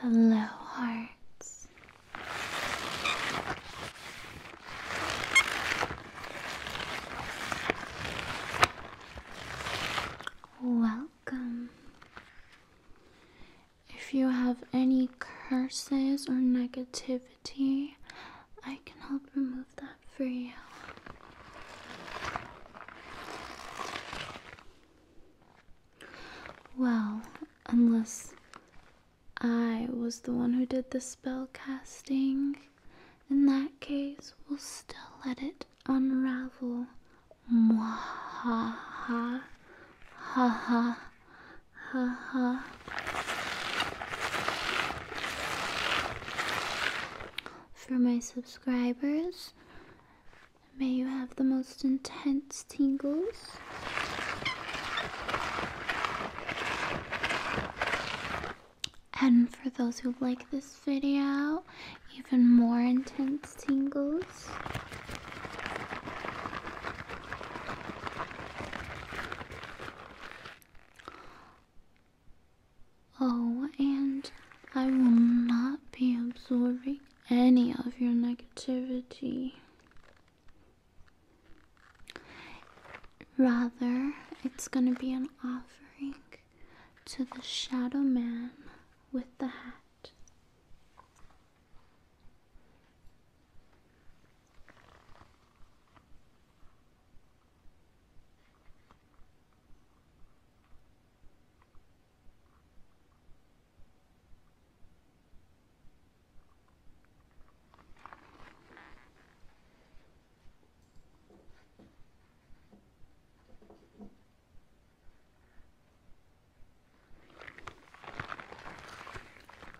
Hello, hearts. Welcome. If you have any curses or negativity, I can help remove that for you. Well, unless I was the one who did the spell casting, in that case, we'll still let it unravel. Mwahaha. Ha ha. Ha ha. For my subscribers, May you have the most intense tingles. And for those who like this video, even more intense tingles. Oh, and I will not be absorbing any of your negativity. Rather, it's going to be an offering to the shadow man with the hat.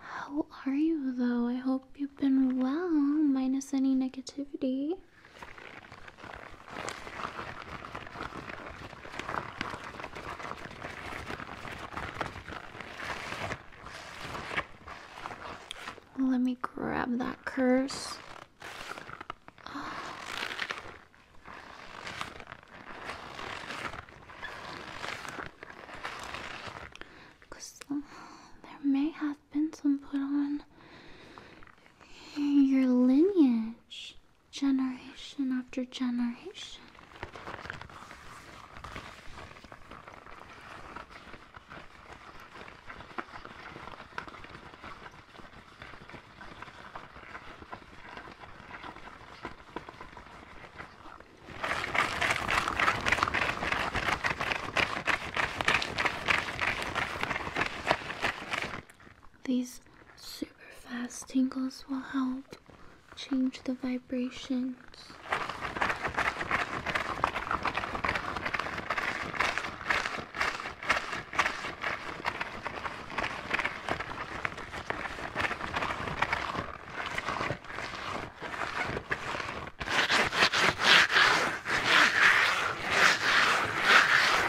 How are you, though? I hope you've been well, minus any negativity. Let me grab that curse. Cause there may have been some put on your lineage generation after generation. These Super fast tingles will help change the vibrations.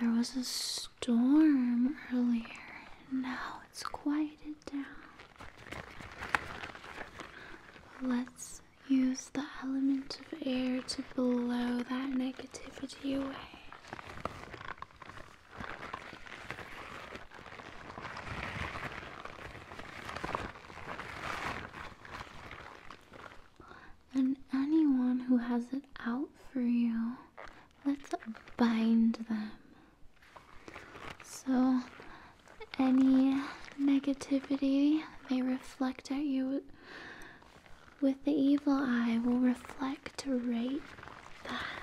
There was a storm earlier. and Now it's quieted down. Let's use the element of air to blow that negativity away and anyone who has it out for you, let's bind them. So, any negativity they reflect at you with the evil eye will reflect right back.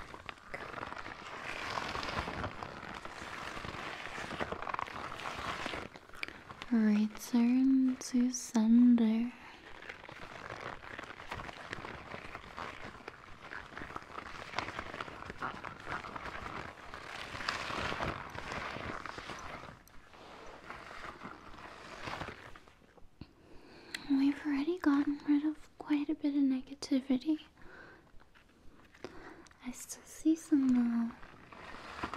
Return to sender. We've already gotten rid of quite a bit of negativity. I still see some now. Uh,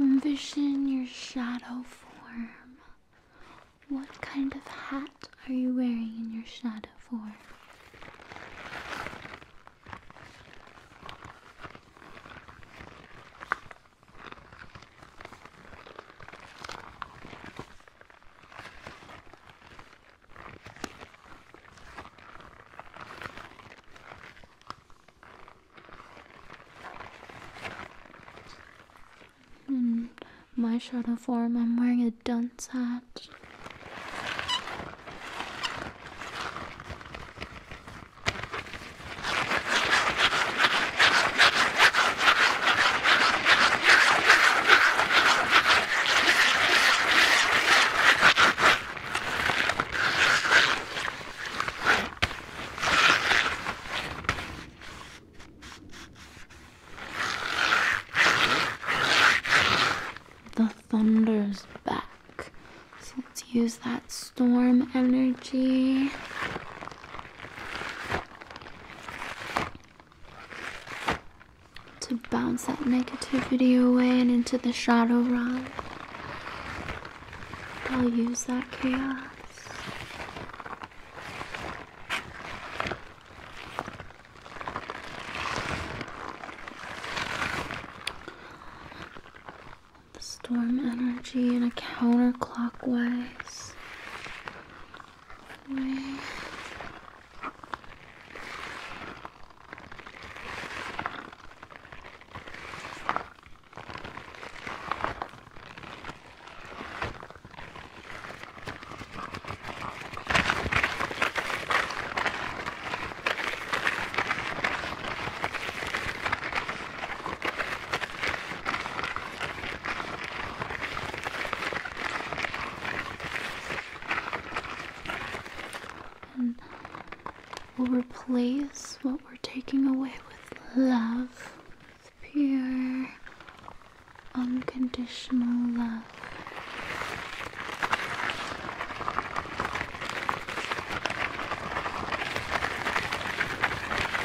Envision your shadow form. What kind of hat are you wearing in your shadow form? In hmm, my shadow form, I'm wearing a dunce hat. The thunder's back. So let's use that storm energy to bounce that negativity away and into the shadow realm. I'll use that chaos the storm energy in a counterclockwise way. And we'll replace what we're taking away with love, with pure, unconditional love.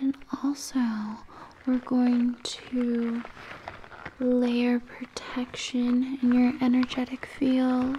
And also, we're going to layer protection in your energetic field.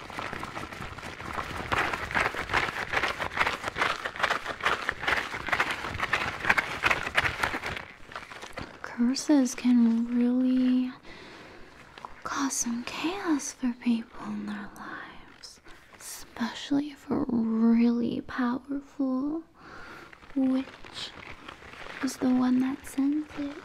Curses can really cause some chaos for people in their lives, especially for really powerful. witch, is the one that sends it?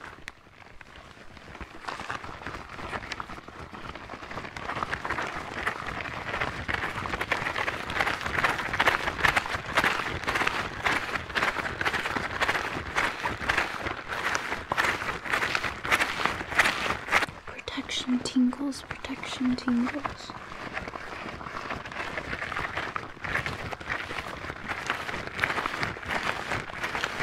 Protection tingles, protection tingles.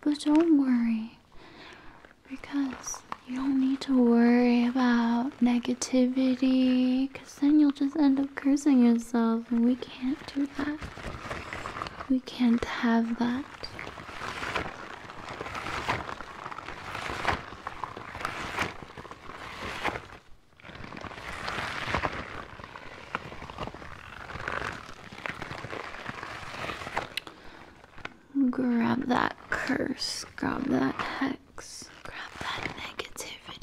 But don't worry because you don't need to worry about negativity because then you'll just end up cursing yourself, and we can't do that. We can't have that. Grab that curse, grab that hex, grab that negativity.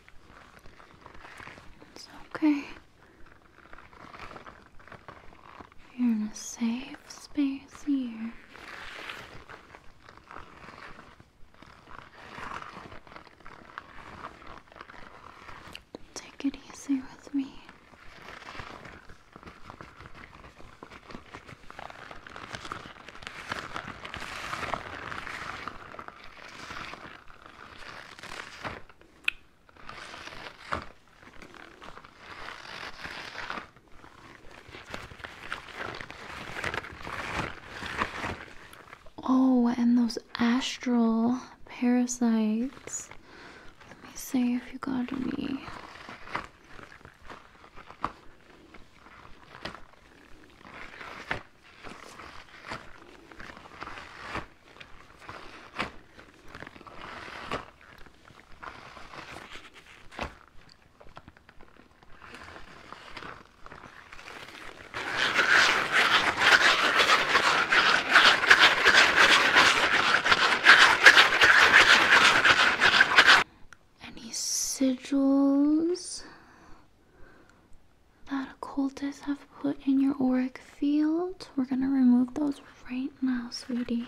It's okay. You're in a safe space here. Take it easy with me. Oh, and those astral parasites. Let me see if you got any. Any sigils? that occultists have put in your auric field. We're going to remove those right now, sweetie.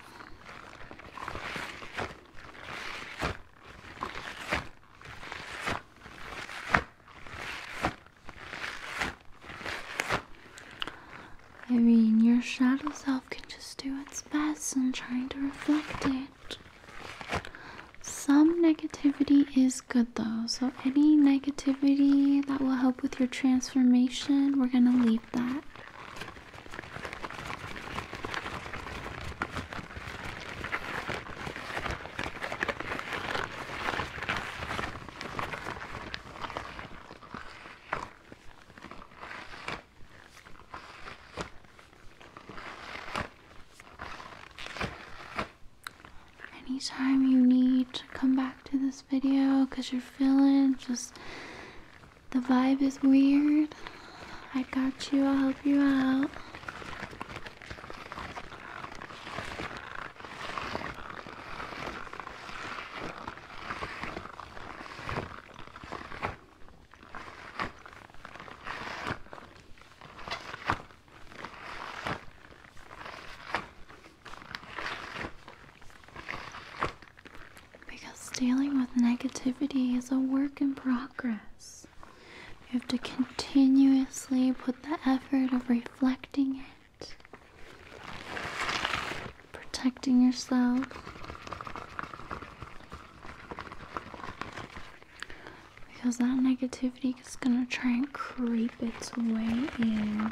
I mean, your shadow self can just do its best in trying to reflect it. Some negativity is good though, so any negativity that will help with your transformation, we're gonna leave that. Anytime you need to come back to this video because you're feeling just the vibe is weird. I got you. I'll help you out. Because dealing with negativity is a work in progress. You have to continuously put the effort of reflecting it, protecting yourself. Because that negativity is going to try and creep its way in.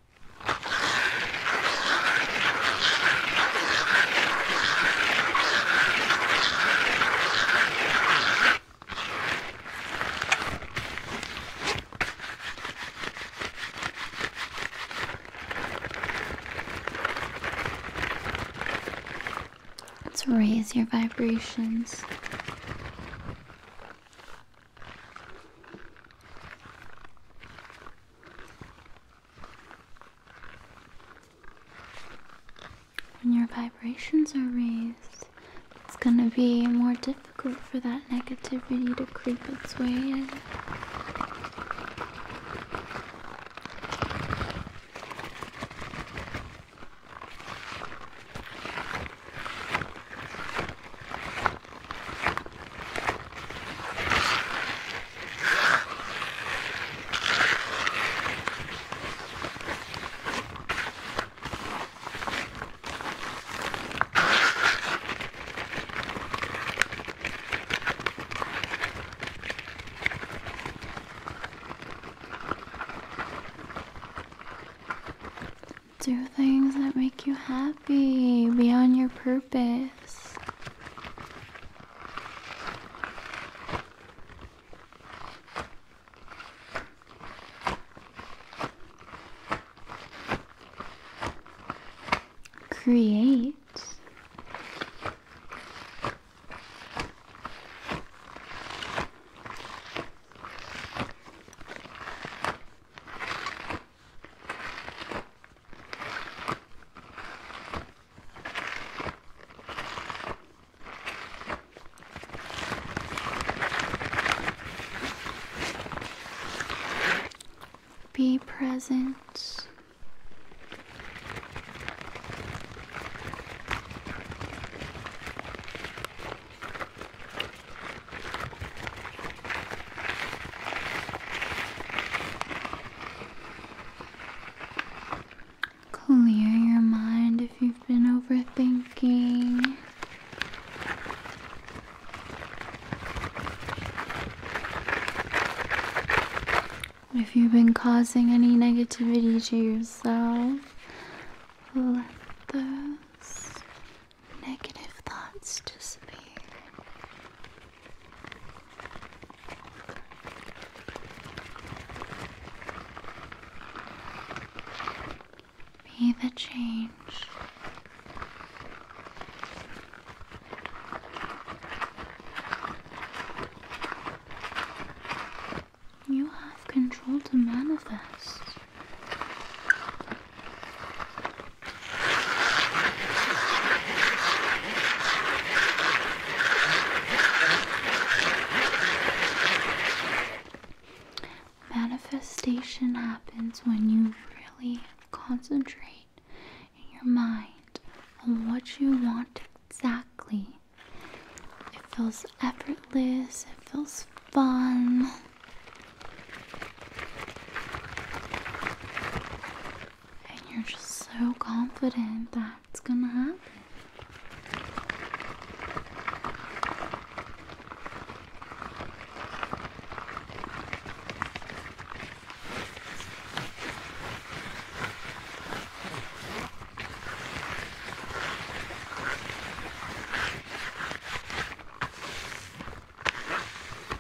Let's raise your vibrations. When your vibrations are raised, it's gonna be more difficult for that negativity to creep its way in. Do things that make you happy happy. Be on your purpose. Create. Be present. Clear your mind if you've been overthinking. If you've been causing any negativity to yourself, let those negative thoughts disappear. Be the change. You have control to manifest. Manifestation happens when you really concentrate in your mind on what you want exactly. It feels effortless, it feels fun. And you're just so confident that it's gonna happen.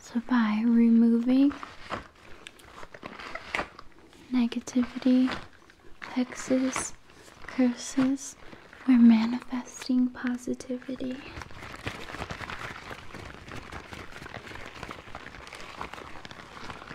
So, by removing negativity, hexes, curses, we're manifesting positivity.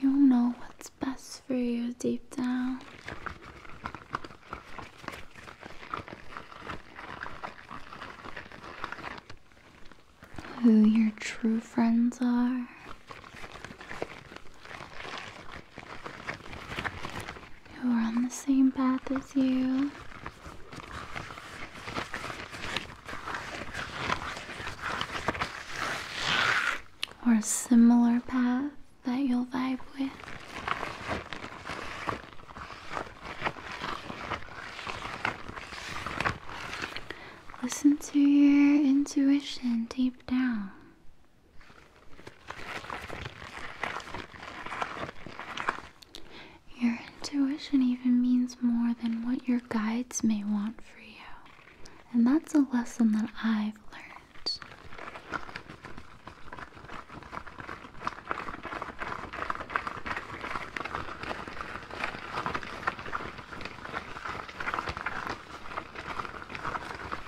You know what's best for you deep down. Who your true friends are who are on the same path as you. Or a similar path that you'll vibe with. Listen to your intuition deep down. Your intuition even means more than what your guides may want for you. And that's a lesson that I've learned.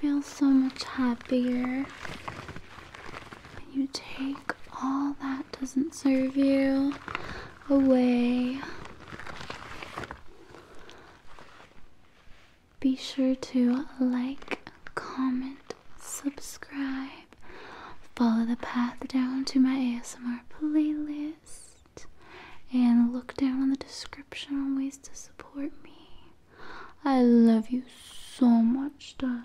feel so much happier when you take all that doesn't serve you away. Be sure to like, comment, subscribe, follow the path down to my ASMR playlist, and look down in the description on ways to support me. I love you so much, darling.